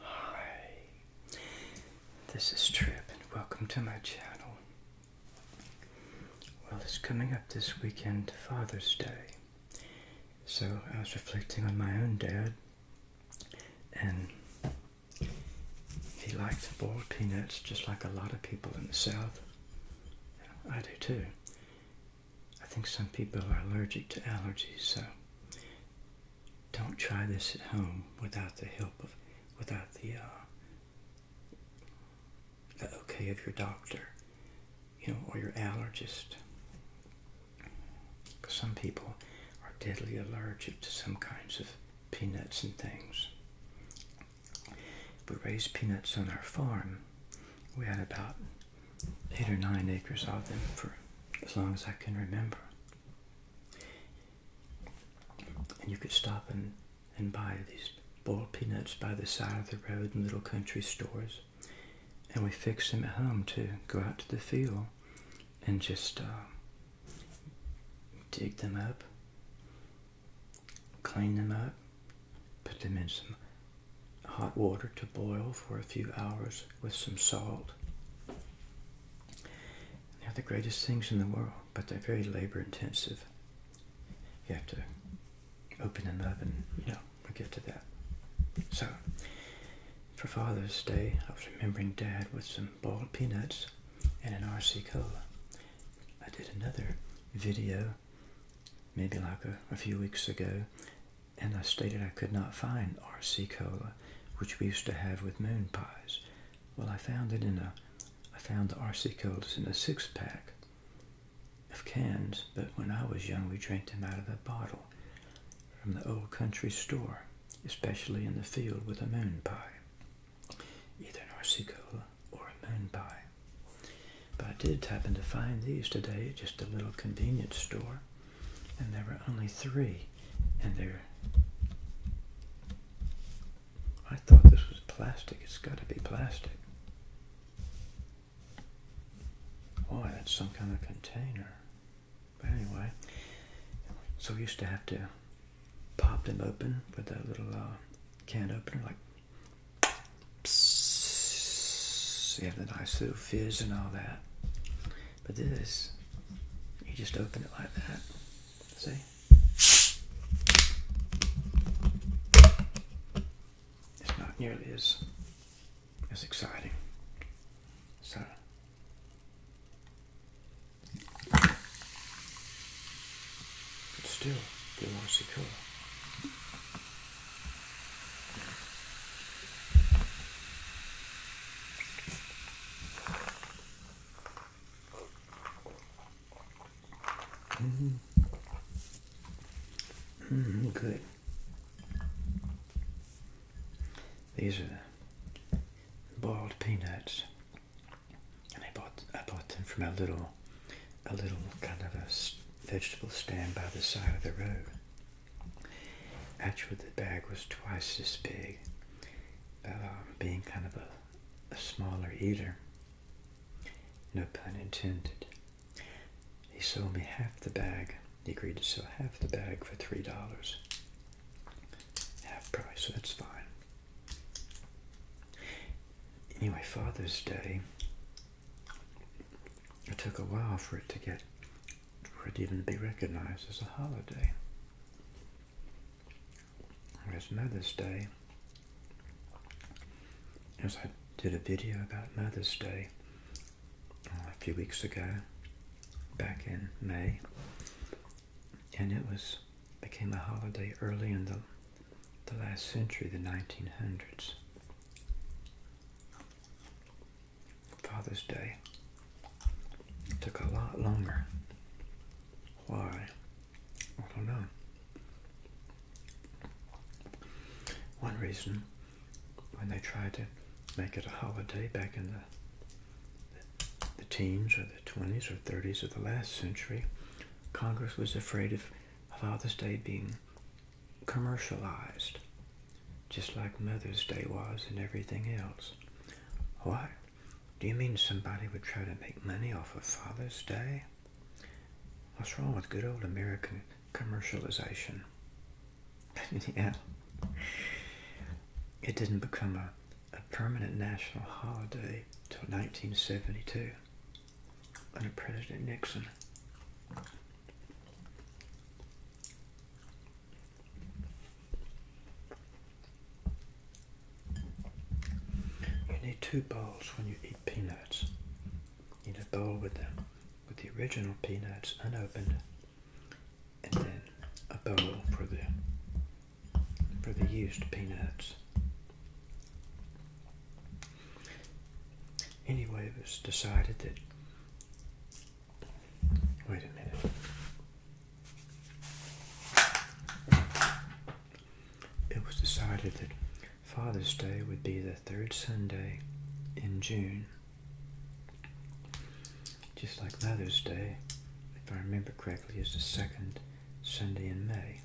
Hi, this is Trip and welcome to my channel. Well, it's coming up this weekend, Father's Day. So I was reflecting on my own dad, and he liked boiled peanuts just like a lot of people in the South. I do too. I think some people are allergic to allergies, so don't try this at home without the help of, without the, uh, okay of your doctor, you know, or your allergist. some people are deadly allergic to some kinds of peanuts and things. We raised peanuts on our farm. We had about eight or nine acres of them for as long as I can remember. And you could stop and, and buy these boiled peanuts by the side of the road in little country stores. And we fixed them at home to go out to the field and just uh, dig them up, clean them up, put them in some hot water to boil for a few hours with some salt. They're the greatest things in the world, but they're very labor intensive. You have to open them up and, you know, we'll get to that. So, for Father's Day, I was remembering Dad with some boiled peanuts and an RC Cola. I did another video, maybe like a, a few weeks ago, and I stated I could not find RC Cola, which we used to have with moon pies. Well, I found it in a, I found the RC Colas in a six pack of cans, but when I was young, we drank them out of a bottle from the old country store, especially in the field with a moon pie, either RC Cola or a moon pie. But I did happen to find these today at just a little convenience store and there were only three and they are I thought this was plastic it's got to be plastic boy that's some kind of container but anyway so we used to have to pop them open with that little uh, can opener like see you the nice little fizz and all that but this, you just open it like that. See? It's not nearly as as exciting. So but still they want to secure. Mm-hmm. Mm-hmm, okay. These are the boiled peanuts, and I bought I bought them from a little a little kind of a vegetable stand by the side of the road. Actually, the bag was twice this big, uh, being kind of a, a smaller eater. No pun intended. He sold me half the bag. He agreed to sell half the bag for $3. Half price, so that's fine. Anyway, Father's Day it took a while for it to get, for it even to be recognized as a holiday. Whereas Mother's Day, as I did a video about Mother's Day uh, a few weeks ago, back in May, and it was became a holiday early in the the last century, the 1900s. Father's Day took a lot longer. Why? I don't know. One reason, when they tried to make it a holiday back in the, the, the teens or the 20s or 30s of the last century, Congress was afraid of Father's Day being commercialized, just like Mother's Day was and everything else. What? Do you mean somebody would try to make money off of Father's Day? What's wrong with good old American commercialization? yeah. It didn't become a, a permanent national holiday till 1972 under President Nixon. You need two bowls when you eat peanuts. You need a bowl with the, with the original peanuts unopened and then a bowl for the for the used peanuts. Anyway, it was decided that. Wait a minute. It was decided that Father's Day would be the third Sunday in June. Just like Mother's Day, if I remember correctly, is the second Sunday in May.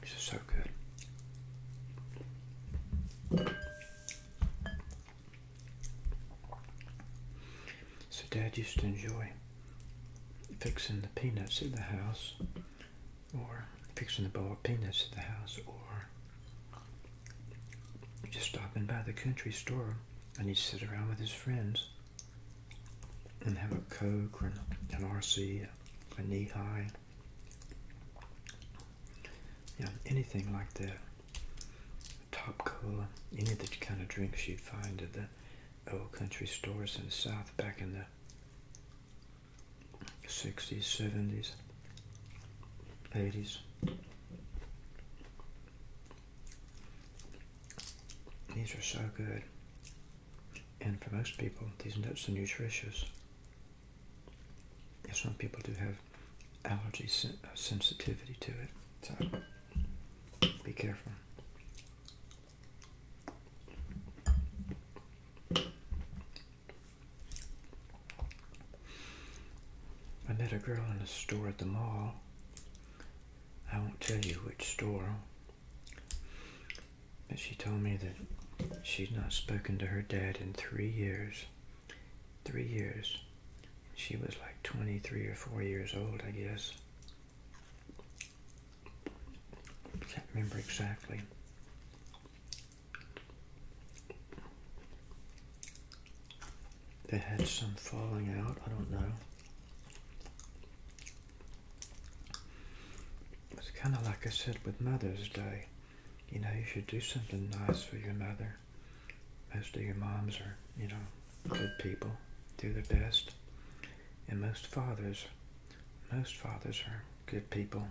This is so good. So, Dad used to enjoy fixing the peanuts at the house, or fixing the bowl peanuts at the house, or just stopping by the country store and he'd sit around with his friends and have a Coke or an, RC, a knee high, yeah, anything like that. Top Cola, any of the kind of drinks you'd find at the old country stores in the South back in the 60s, 70s, 80s. These are so good. And for most people, these nuts are nutritious. some people do have allergy uh, sensitivity to it, so be careful. I met a girl in a store at the mall. I won't tell you which store. But she told me that she'd not spoken to her dad in three years. Three years. She was like 23 or 4 years old, I guess. Can't remember exactly. They had some falling out, I don't know. It's kind of like I said with Mother's Day. You know, you should do something nice for your mother. Most of your moms are, you know, good people, do their best. And most fathers, most fathers are good people,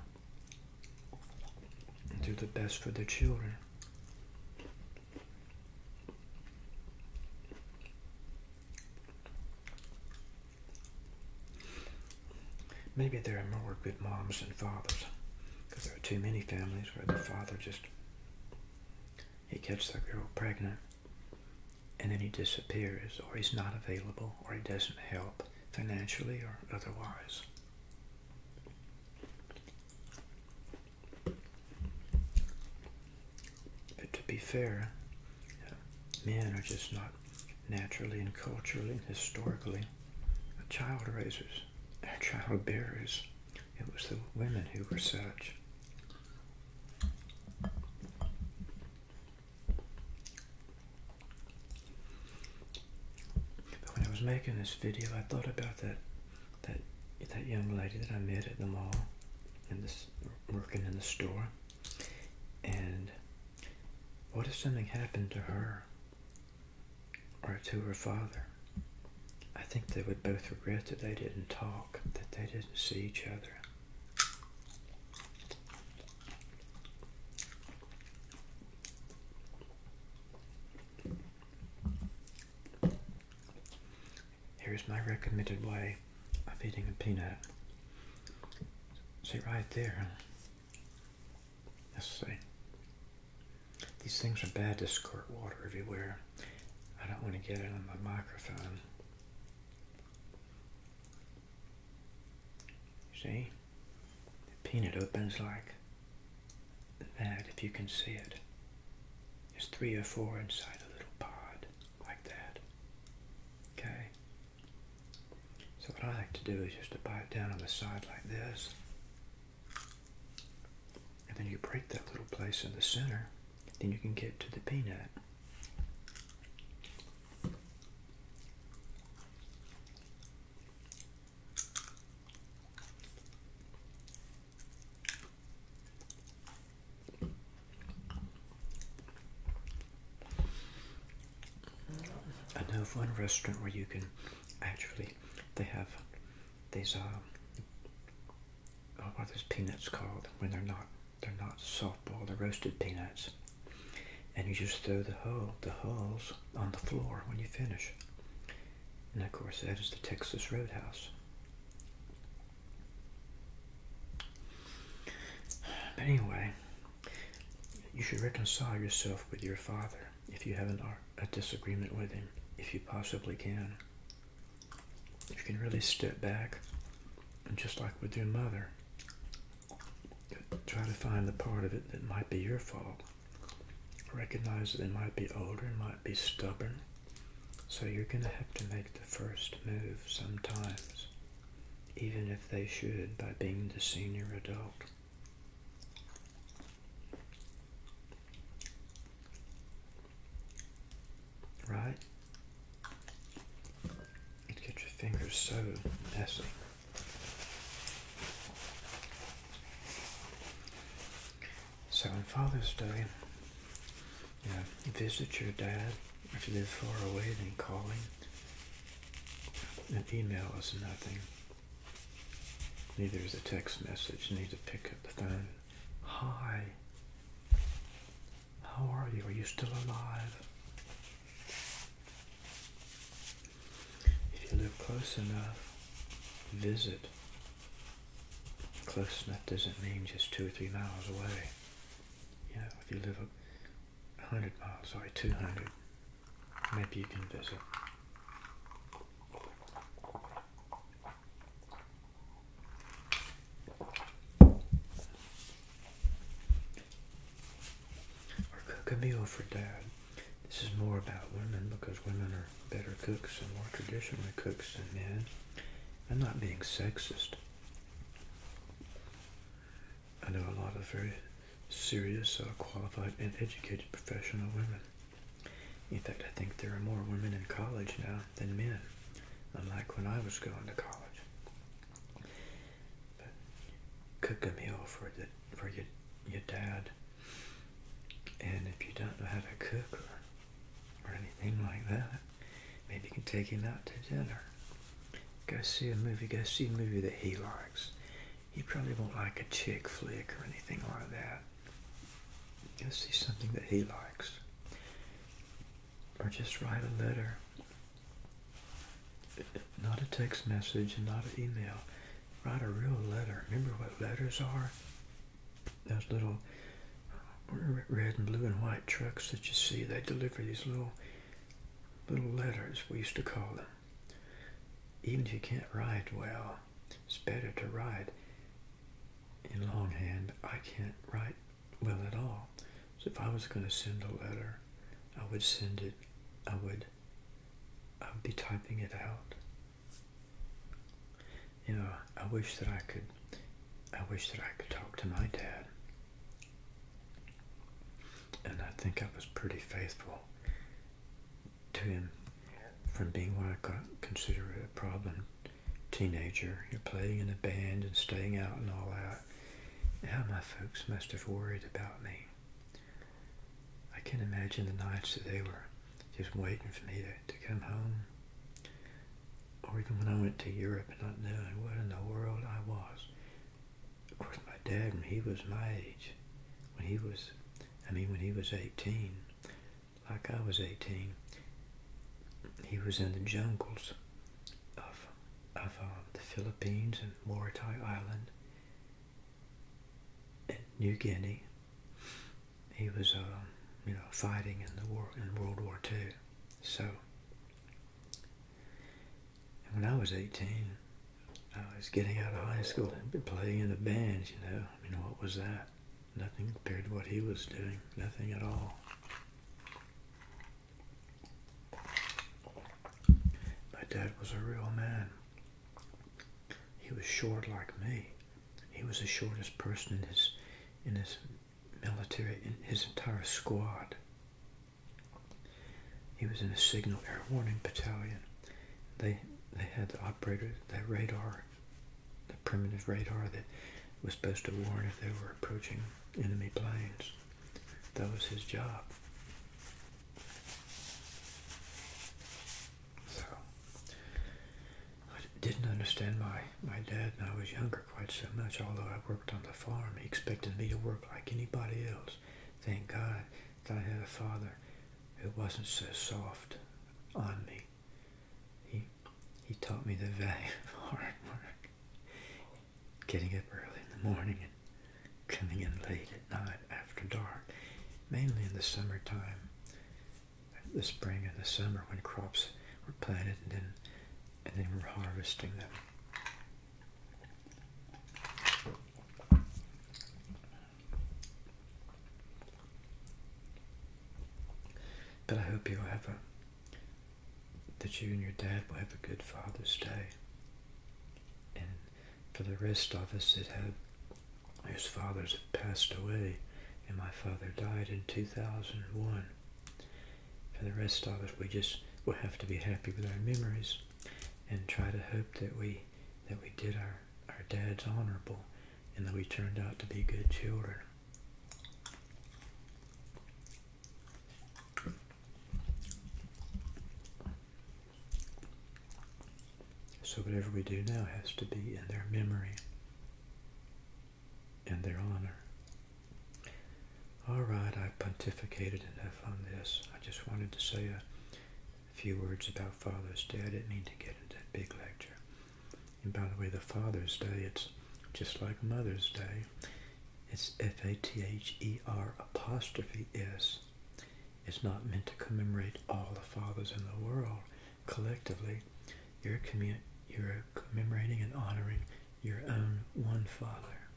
do the best for their children. Maybe there are more good moms than fathers, because there are too many families where the father just he gets the girl pregnant and then he disappears, or he's not available, or he doesn't help financially or otherwise. But to be fair, men are just not naturally and culturally and historically child raisers, or child bearers. It was the women who were such. But when I was making this video, I thought about that that that young lady that I met at the mall, and this working in the store. And what if something happened to her or to her father? I think they would both regret that they didn't talk, that they didn't see each other. Here's my recommended way of eating a peanut. See right there. Let's see. These things are bad to squirt water everywhere. I don't want to get it on my microphone. See? The peanut opens like that if you can see it. There's three or four inside a little pod like that. Okay. So what I like to do is just to bite down on the side like this. And then you break that little place in the center. Then you can get to the peanut. I know of one restaurant where you can actually they have these uh what are these peanuts called when they're not they're not softball they're roasted peanuts and you just throw the hull the hulls on the floor when you finish and of course that is the Texas Roadhouse anyway, you should reconcile yourself with your father if you have an, uh, a disagreement with him, if you possibly can. You can really step back and just like with your mother, try to find the part of it that might be your fault. Recognize that they might be older, and might be stubborn, so you're going to have to make the first move sometimes, even if they should by being the senior adult. Right? You get your fingers so messy. So on Father's Day, visit your dad. If you live far away, then calling an email is nothing. Neither is a text message. need to pick up the phone. Hi. How are you? Are you still alive? If you live close enough, visit. Close enough doesn't mean just two or three miles away you if you live a hundred miles, sorry, two hundred, maybe you can visit. Or cook a meal for dad. This is more about women because women are better cooks and more traditionally cooks than men. I'm not being sexist. I know a lot of very serious, uh, qualified, and educated professional women. In fact, I think there are more women in college now than men, unlike when I was going to college. cook a meal for, the, for your, your dad, and if you don't know how to cook or anything like that. Maybe you can take him out to dinner. Go see a movie. Go see a movie that he likes. He probably won't like a chick flick or anything like that. Go see something that he likes. Or just write a letter. Not a text message and not an email. Write a real letter. Remember what letters are? those little red and blue and white trucks that you see. They deliver these little little letters, we used to call them. Even if you can't write well, it's better to write in longhand. I can't write well at all. So if I was going to send a letter, I would send it, I would, I would be typing it out you know, I wish that I could, I wish that I could talk to my dad. And I think I was pretty faithful to him from being what I consider a problem teenager. You're playing in a band and staying out and all that. How my folks must have worried about me. I can not imagine the nights that they were just waiting for me to come home or even when I went to Europe not knowing what in the world I was. Of course, my dad, when he was my age, when he was, I mean, when he was 18, like I was 18, he was in the jungles of, of um, the Philippines and Morotai Island and New Guinea. He was, um, you know, fighting in the war in World War II so, when I was 18, I was getting out of high school and playing in the band, you know. I mean, what was that? Nothing compared to what he was doing, nothing at all. My dad was a real man. He was short like me. He was the shortest person in his in his military in his entire squad. He was in a signal air warning battalion. They they had the operator, that radar, the primitive radar that was supposed to warn if they were approaching enemy planes. That was his job. So I didn't understand my, my dad when I was younger quite so much. Although I worked on the farm, he expected me to work like anybody else. Thank God that I had a father who wasn't so soft on me. He, he taught me the value of hard work, getting up early in the morning and coming in late at night after dark, mainly in the summertime the spring and the summer when crops were planted and then and then we're harvesting them. But I hope you'll have a that you and your dad will have a good Father's Day. And for the rest of us that have whose fathers have passed away and my father died in 2001 for the rest of it, we just will have to be happy with our memories and try to hope that we that we did our, our dads honorable and that we turned out to be good children. So whatever we do now has to be in their memory. And their honor. All right, I pontificated enough on this. I just wanted to say a few words about Father's Day. I didn't mean to get into that big lecture. And by the way, the Father's Day, it's just like Mother's Day. It's F-A-T-H-E-R apostrophe S. It's not meant to commemorate all the fathers in the world. Collectively, you're, commu you're commemorating and honoring your own one father.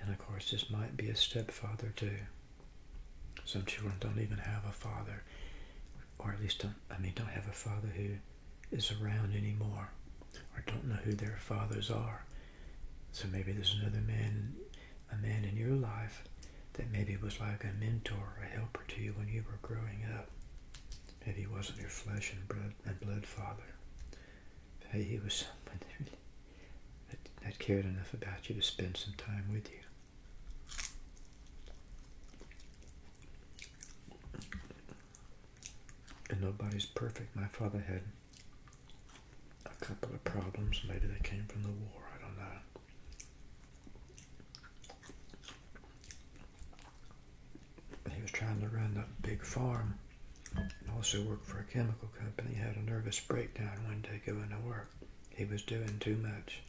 And of course, this might be a stepfather too. Some children don't even have a father, or at least don't, I mean, don't have a father who is around anymore, or don't know who their fathers are. So maybe there's another man, a man in your life that maybe was like a mentor or a helper to you when you were growing up that he wasn't your flesh and blood, and blood father, that he was someone that cared enough about you to spend some time with you. And nobody's perfect. My father had a couple of problems. Maybe they came from the war. I don't know. He was trying to run the big farm and also worked for a chemical company. He had a nervous breakdown one day going to work. He was doing too much.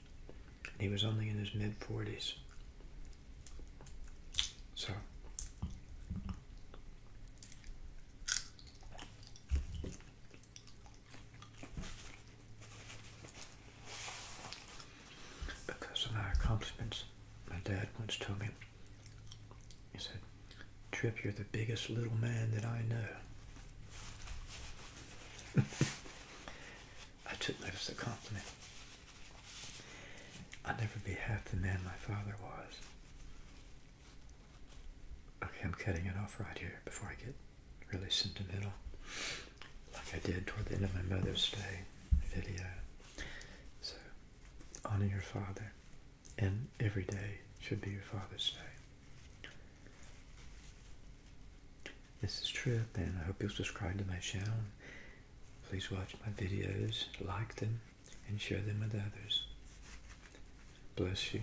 He was only in his mid 40s. So, because of my accomplishments, my dad once told me, he said, Trip, you're the biggest little man that I know. I took that as a compliment. I'll never be half the man my father was. Okay, I'm cutting it off right here before I get really sentimental like I did toward the end of my Mother's Day video. So, honor your father, and every day should be your Father's Day. This is Trip, and I hope you'll subscribe to my channel. Please watch my videos, like them, and share them with others. Bless you.